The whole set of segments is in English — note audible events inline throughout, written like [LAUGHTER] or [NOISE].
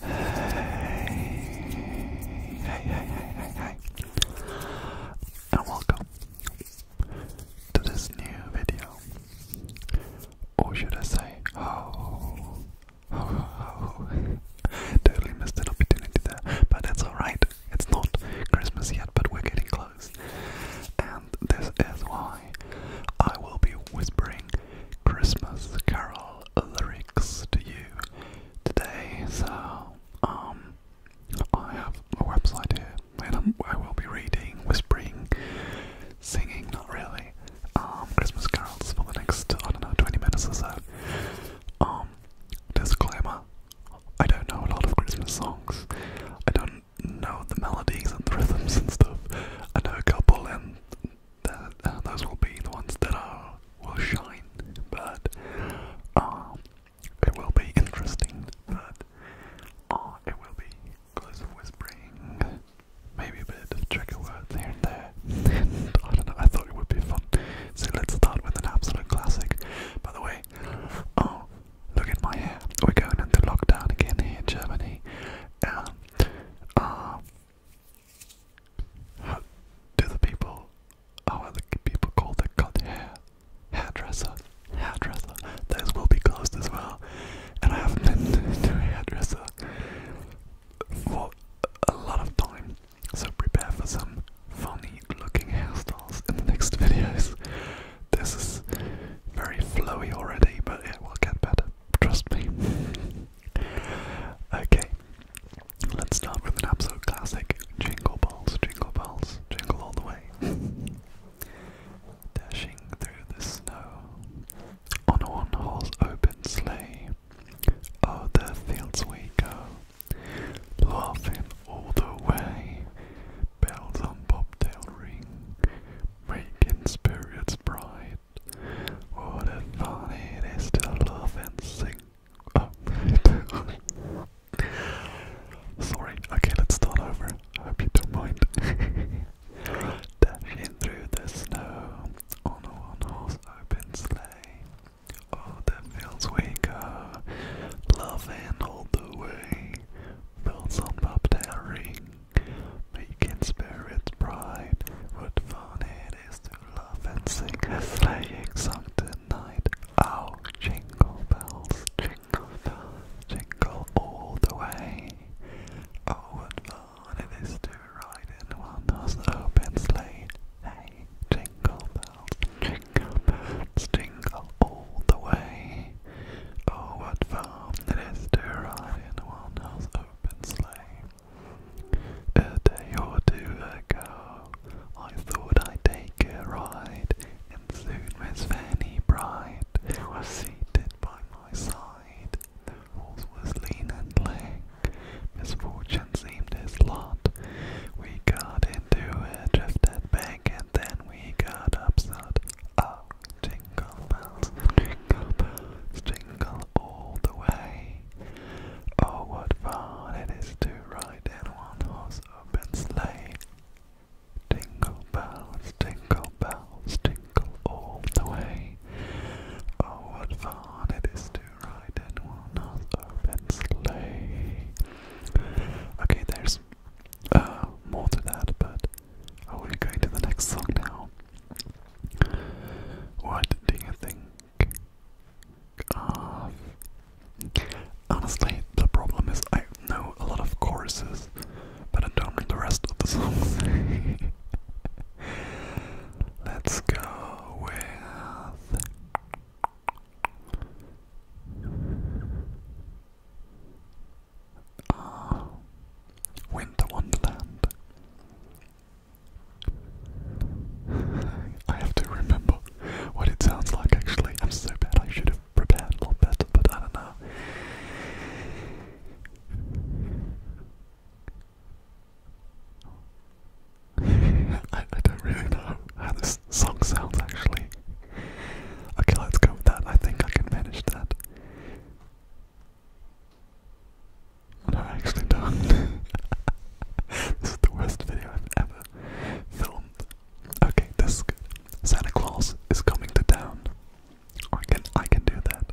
Hey, hey, hey, hey, hey, and welcome to this new video, or should I say, oh, oh, oh, totally missed an opportunity there, but it's alright, it's not Christmas yet, but we're getting close, and this is why I will be whispering Christmas carol lyrics to you today. So, um, I have a website here, and I'm, I will be reading, whispering, singing, not really, um, Christmas carols for the next, I don't know, 20 minutes or so. Um, disclaimer, I don't know a lot of Christmas songs. I don't know the melodies and the rhythms and stuff. I know a couple and uh, those will be the ones that will shine, but um, it will be interesting, but uh, it will be close whispering, maybe a bit of trigger words here and there, I don't know, I thought it would be fun, so let's start with an absolute classic, by the way, oh, look at my hair, we're going into lockdown again here in Germany, uh, do the people, how the people called that cut hair? Hairdresser, hairdresser. Those will be closed as well. And I haven't been [LAUGHS] to a hairdresser for a lot of time, so prepare for some funny looking hairstyles in the next [LAUGHS] videos. This is very flowy already, but it will get better. Trust me. [LAUGHS] okay, let's start with an absolute classic Jingle Balls, Jingle Balls, Jingle All the Way. [LAUGHS] Dashing through the snow on one horse open sleigh. O'er oh, the fields we go, laughing all the way. Bells on bobtail ring, making spirits bright. What a fun it is to love and sing. Oh. [LAUGHS] Sorry, okay, let's start over. I hope you don't mind. [LAUGHS] Dashing through the snow on a one horse open sleigh. Oh, the fields we go, loving all the way. Bells on pop ring, Making spirits bright, what fun it is to love and sing a sleighing song tonight. Oh, jingle bells, jingle bells, jingle all the way. Oh, what fun it is to ride in one horse open sleigh. Hey, jingle bells, jingle bells, jingle all the way. Oh, what fun it is to ride in one horse open and A day or two ago, I thought I'd take a ride, and soon Miss Fanny Bright was seated by my side. The horse was lean and lank, misfortune seemed his lot. We got into a drift and and then we got upset. Oh, Jingle bells, jingle bells, jingle all the way. Oh, what fun it is to ride in one horse open sleigh. Jingle bells, jingle bells, jingle all the way. Oh, what fun it is to ride in one horse open sleigh. Okay, there's uh, more to that, but I want to to the next song now. What do you think Honestly, the problem is I know a lot of choruses, but I don't know the rest of the songs. [LAUGHS] Let's go with. Uh, Winter Wonderland. I have to remember what it sounds like actually. I'm so bad, I should have prepared a lot better, but I don't know. I, don't really know how this song sounds actually. Okay, let's go with that. I think I can manage that. No, actually do [LAUGHS] this is the worst video I've ever filmed. Okay, this Santa Claus is coming to town. I can I can do that.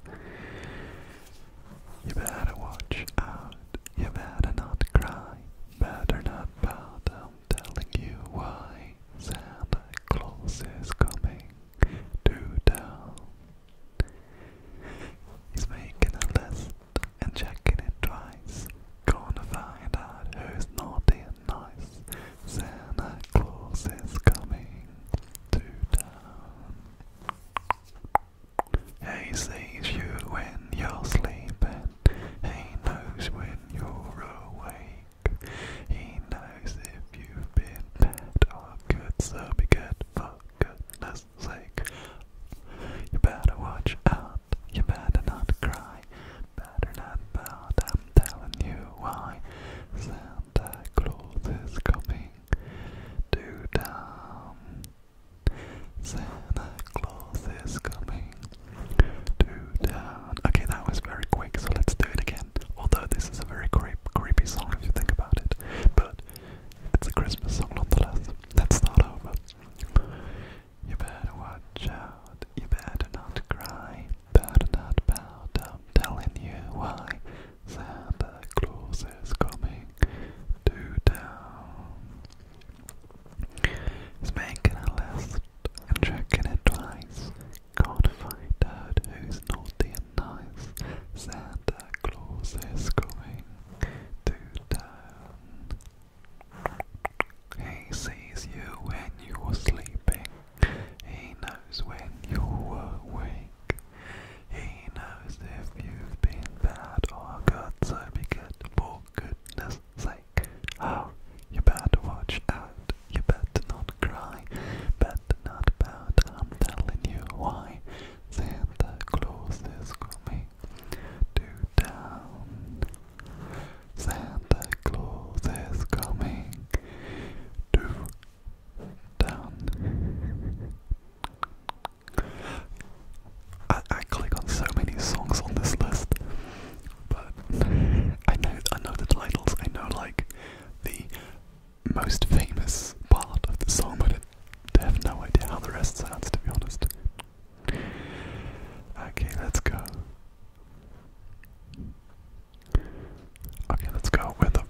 You better watch out. You better not cry. Better not pout. I'm telling you why. Santa Claus is coming to town. He's making a list and checking it twice. Gonna find out who's naughty and nice. Santa Claus is coming to town. He sees you when you're sleeping. He knows when you're awake. He knows if you've been bad good, so be good, for goodness sake. You better watch out, you better not cry, better not pout, I'm telling you Santa Claus is coming to town. Santa Claus is coming to town. Okay, that was very quick, so let's do it again. Although this is a very creep, creepy song if you think about it, but it's a Christmas song nonetheless. Let's start over. You better watch out. You better not cry. Better not bow down. Telling you why. Santa Claus is coming to town. He's making a list and checking it twice. Gotta find out who's naughty nice. Santa Claus is coming to town. He sees you when you're sleeping. He knows when you're awake. He knows if you've been bad or good, so be good for goodness sake. Oh, you better watch out. You better not cry. Better not I'm telling you why Santa Claus is coming to town. Santa Claus is coming to town. I click on so many songs on this list, but [LAUGHS] I know I know the titles. I know like the most famous part of the song, but I have no idea how the rest sounds, to be honest. Okay, let's go. Okay, let's go with a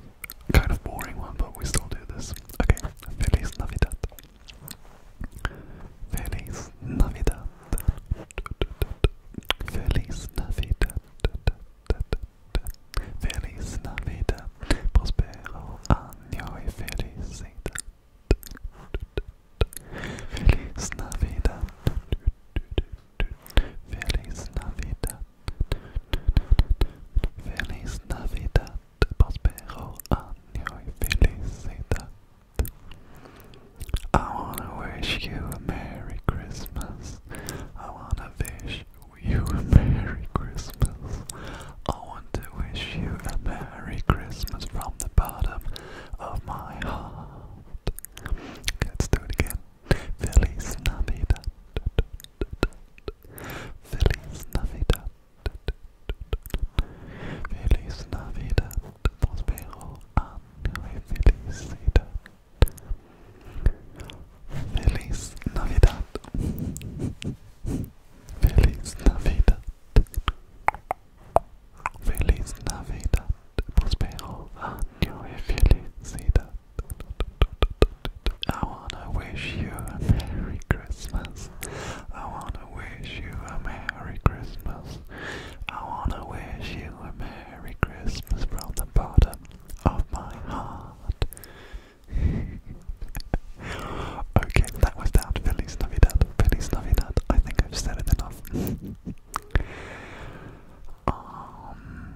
kind of boring one, but we still do this. Okay, Feliz Navidad. Feliz Navidad. Feliz Navidad. Feliz Navidad, prospero año y felicidad. Feliz Navidad, Feliz Navidad, Feliz Navidad, prospero año y felicidad. I wanna wish you a Merry Christmas. I wanna wish you Merry Christmas. I want to wish you a Merry Christmas from the bottom of my heart. Let's do it again. Feliz Navidad. Feliz Navidad. Feliz Navidad. Prospero año y felicidad. Feliz Navidad. Feliz Navidad. Feliz Navidad. Prospero año y felicidad. I wanna wish you a Merry Christmas. I wanna wish you a Merry Christmas. I wanna wish you a Merry Christmas from the bottom of my heart okay, that was that. Feliz Navidad. Feliz Navidad. I think I've said it enough. Um,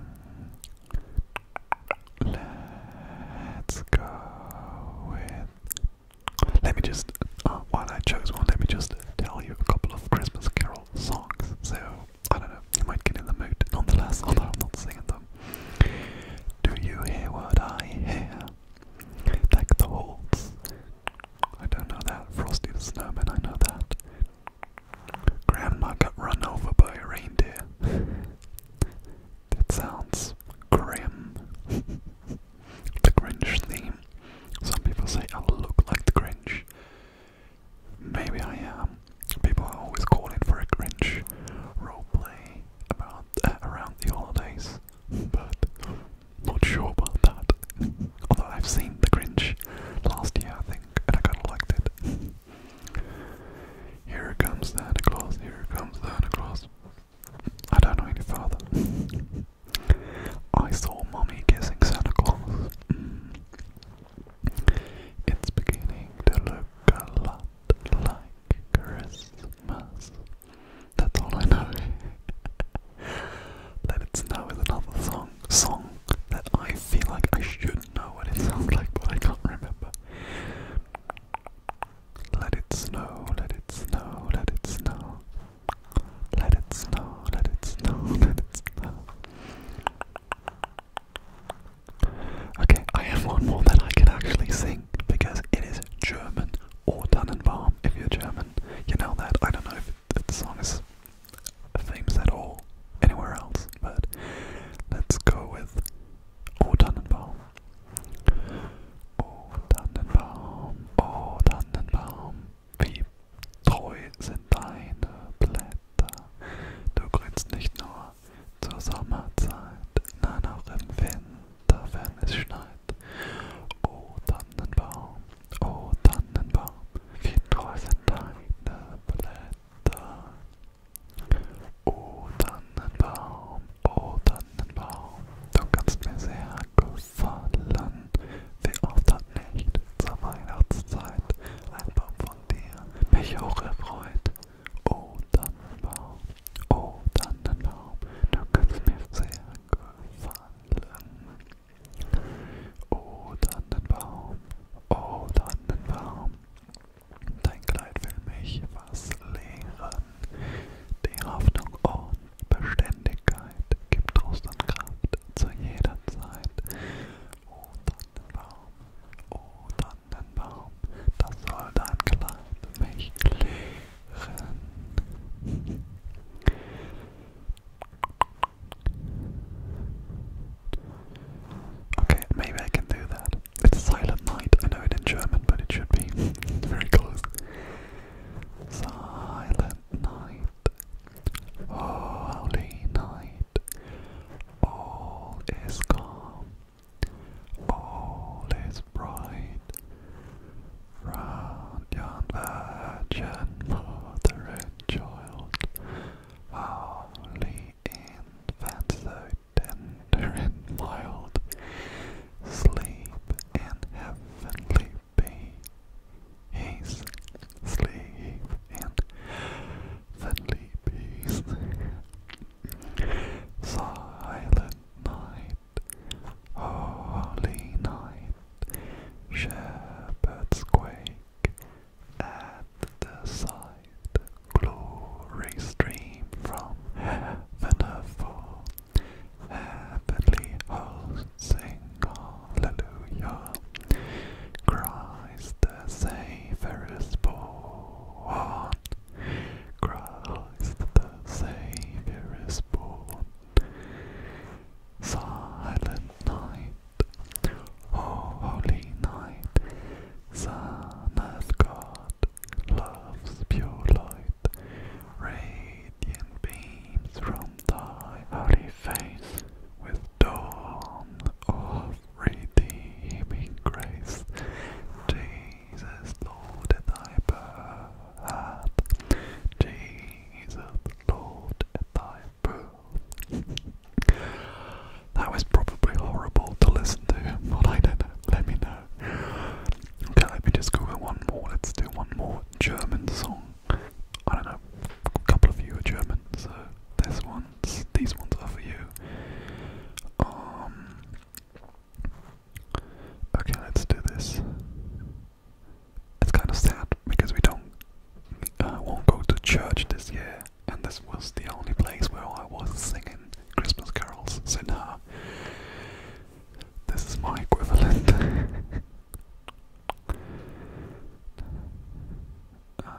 let's go with. Let me just. Uh, I chose one, let me just tell you a couple of Christmas Carol songs. So, I don't know. You might get in the mood nonetheless, although I'm not singing them. Do you hear what I hear? Deck the halls. I don't know that. Frosty the Snowman, I know that. Grandma got run over by a reindeer. That sounds grim. the Grinch theme. Some people say I oh, look like the Grinch. Maybe I am. People are always calling for a cringe roleplay about uh, around the holidays, but not sure about that. [LAUGHS] Although I've seen the Grinch last year, I think, and I kind of liked it. [LAUGHS] Here comes Santa Claus. Here comes Santa Claus. I don't know any further. I saw mommy kissing Santa Claus. Mm. It's beginning to look a lot like Christmas. That's all I know. [LAUGHS] Let It Snow is another song song that I feel like I should know what it sounds like, but I can't remember. Let it snow, let it snow, let it snow. Let it snow, let it snow, [LAUGHS] let it snow. Okay, I have one more that I can actually sing because it is German or Tannenbaum if you're German. You know that. I don't know if, the song is famous at all anywhere else, but let's go with Or Tannenbaum. Oh wie treu sind deine Blätter. Du grünst nicht nur zur Sommerzeit, nein auch im Winter, wenn es schneit. Oh Tannenbaum, oh Tannenbaum, wie treu sind deine Blätter. Oh Tannenbaum, oh Tannenbaum, du kannst mir sehr gefallen. Wie oft hat nicht zur Weihnachtszeit ein Baum von dir mich auch erfreut. Oh Tannenbaum, oh Tannenbaum, du kannst mir sehr gefallen. Oh Tannenbaum, oh Tannenbaum, dein Kleid will mich was lehren. Die Hoffnung und Beständigkeit gibt Trost und Kraft zu jeder Zeit. Oh Tannenbaum, oh Tannenbaum. den Baum, Okay, maybe I can do that. It's Silent Night, I know it in German, but it should be [LAUGHS] very close. Silent Night, oh, Holy Night, all is calm. All is bright round yon virgin mother and child, holy infant so tender and mild, sleep in heavenly peace, sleep in heavenly peace. Silent night, holy night, shepherds quake at the sight, glory stream from heaven above, heavenly hosts sing hallelujah, Christ the Savior is born. Christ the Savior is born. Silent night, oh, holy night, Son of God, love's pure light, radiant beams from thy holy face with dawn of redeeming grace, Jesus, Lord, and thy birth, Jesus, Lord, and thy birth. That was probably horrible to listen to, but I do Let me know. Okay, let me just go one more. Let's do one more German song. I don't know. A couple of you are German, so this one. These ones are for you. Um, okay, let's do this. It's kind of sad because we don't, uh, won't go to church this year, and this was the only place where I was singing Christmas carols. So now, this is my equivalent. [LAUGHS] Uh,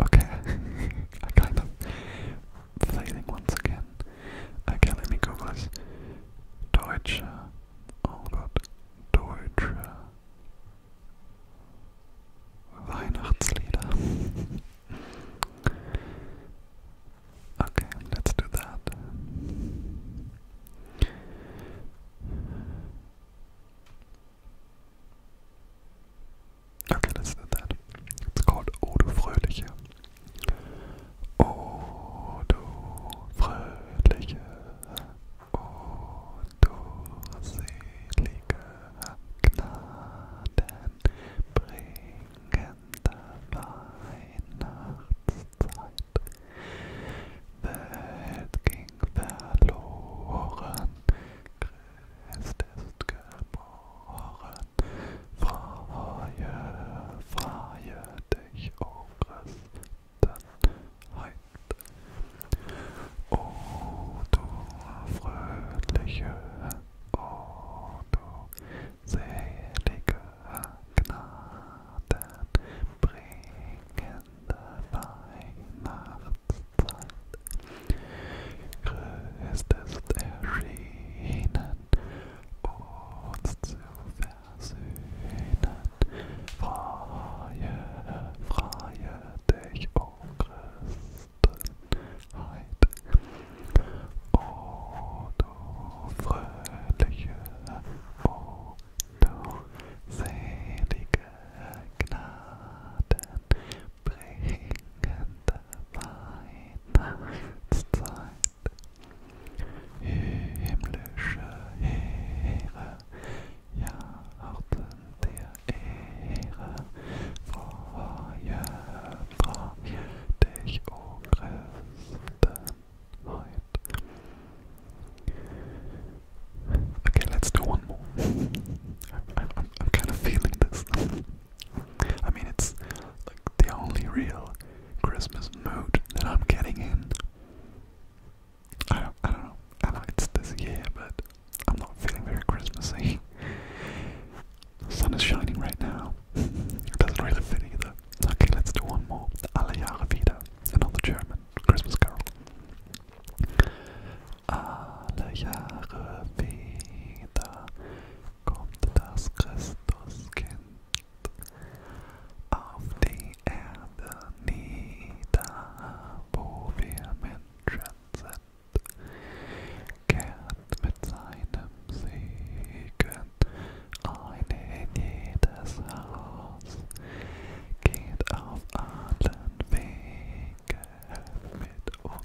Okay, [LAUGHS] I kind of failing once again. Okay, let me Google this. Deutsche. Oh Gott. Deutsche. Weihnachtslieder. [LAUGHS] okay, let's do that. Okay, that's not that. It's called Odo Fröhliche. Odo Fröhliche. Odo selige Gnaden bringender Weihnachtszeit. Welt ging verloren, es ist geboren, freue, freue dich, o oh Christenheit. O oh, du fröhliche, o oh, du selige Gnaden, bringende Weihnacht. Christ ist erschienen, uns zu versöhnen. Freie, freie dich, o oh Christenheit. O oh, du fröhliche, o oh, du selige Gnaden bringende Weihnachtszeit. Himmlische Heere, Jahrten der Ehre, freue, freue dich, o oh Christen, heut. Okay, let's do one more. I, I, I'm kind of feeling this. I mean, it's like the only real Christmas mood that I'm getting in. I don't, I don't know. I know it's this year, but I'm not feeling very Christmassy. The sun is shining right now. It doesn't really fit either. Okay, let's do one more. Alle Jahre wieder. Another German Christmas carol. alle Jahre wieder kommt das Christuskind auf die Erde nieder, wo wir Menschen sind, kehrt mit seinem Segen ein in jedes Haus, geht auf allen Wegen mit uns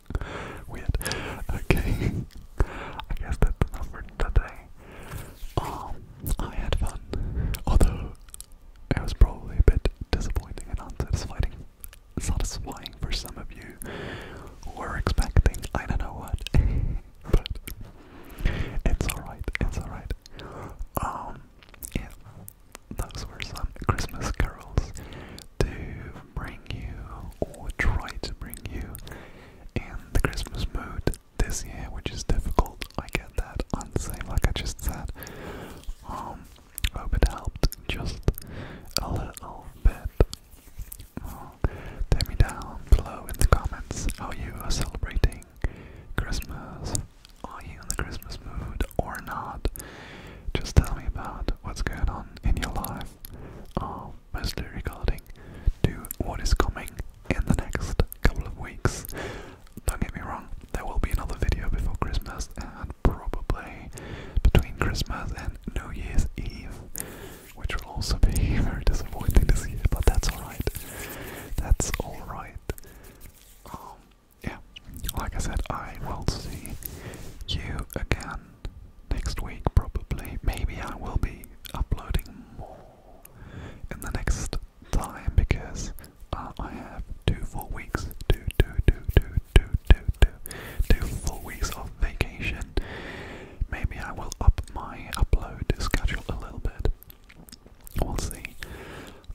[LAUGHS] Weird. Okay. [LAUGHS] I guess that's enough for today. Um, I had fun. Although it was probably a bit disappointing and unsatisfying satisfying for some of you who were expecting I don't know what. [LAUGHS] but it's alright, it's alright. Um yeah. Those were some Christmas carols to bring you, or try to bring you, in the Christmas mood this year, which is difficult. I get that. I'm the like I just said. Um, hope it helped just a little bit. Um, tell me down below in the comments how you are celebrating Christmas. Are you in the Christmas mood or not? Just tell me about what's going on in your life, uh, mostly regarding to what is coming in the next couple of weeks. Don't get me wrong, there will be another video before Christmas and probably between Christmas and New Year's Eve, which will also be [LAUGHS] very disappointing this year, but that's alright. That's alright. Um, yeah, like I said, I will see you again next week, probably. Maybe I will be uploading more in the next time because uh, I have two full weeks, two, two, two, two, two, two, two, two full weeks of vacation. Maybe I will up my upload schedule a little bit. We'll see.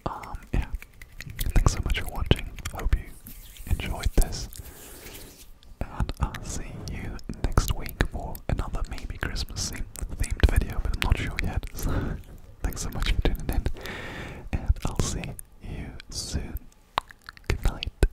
Um, yeah. Thanks so much for watching. Hope you enjoyed this and I'll see you next week for another maybe Christmas themed video, but I'm not sure yet. [LAUGHS] So thanks so much for tuning in, and I'll see you soon. Good night.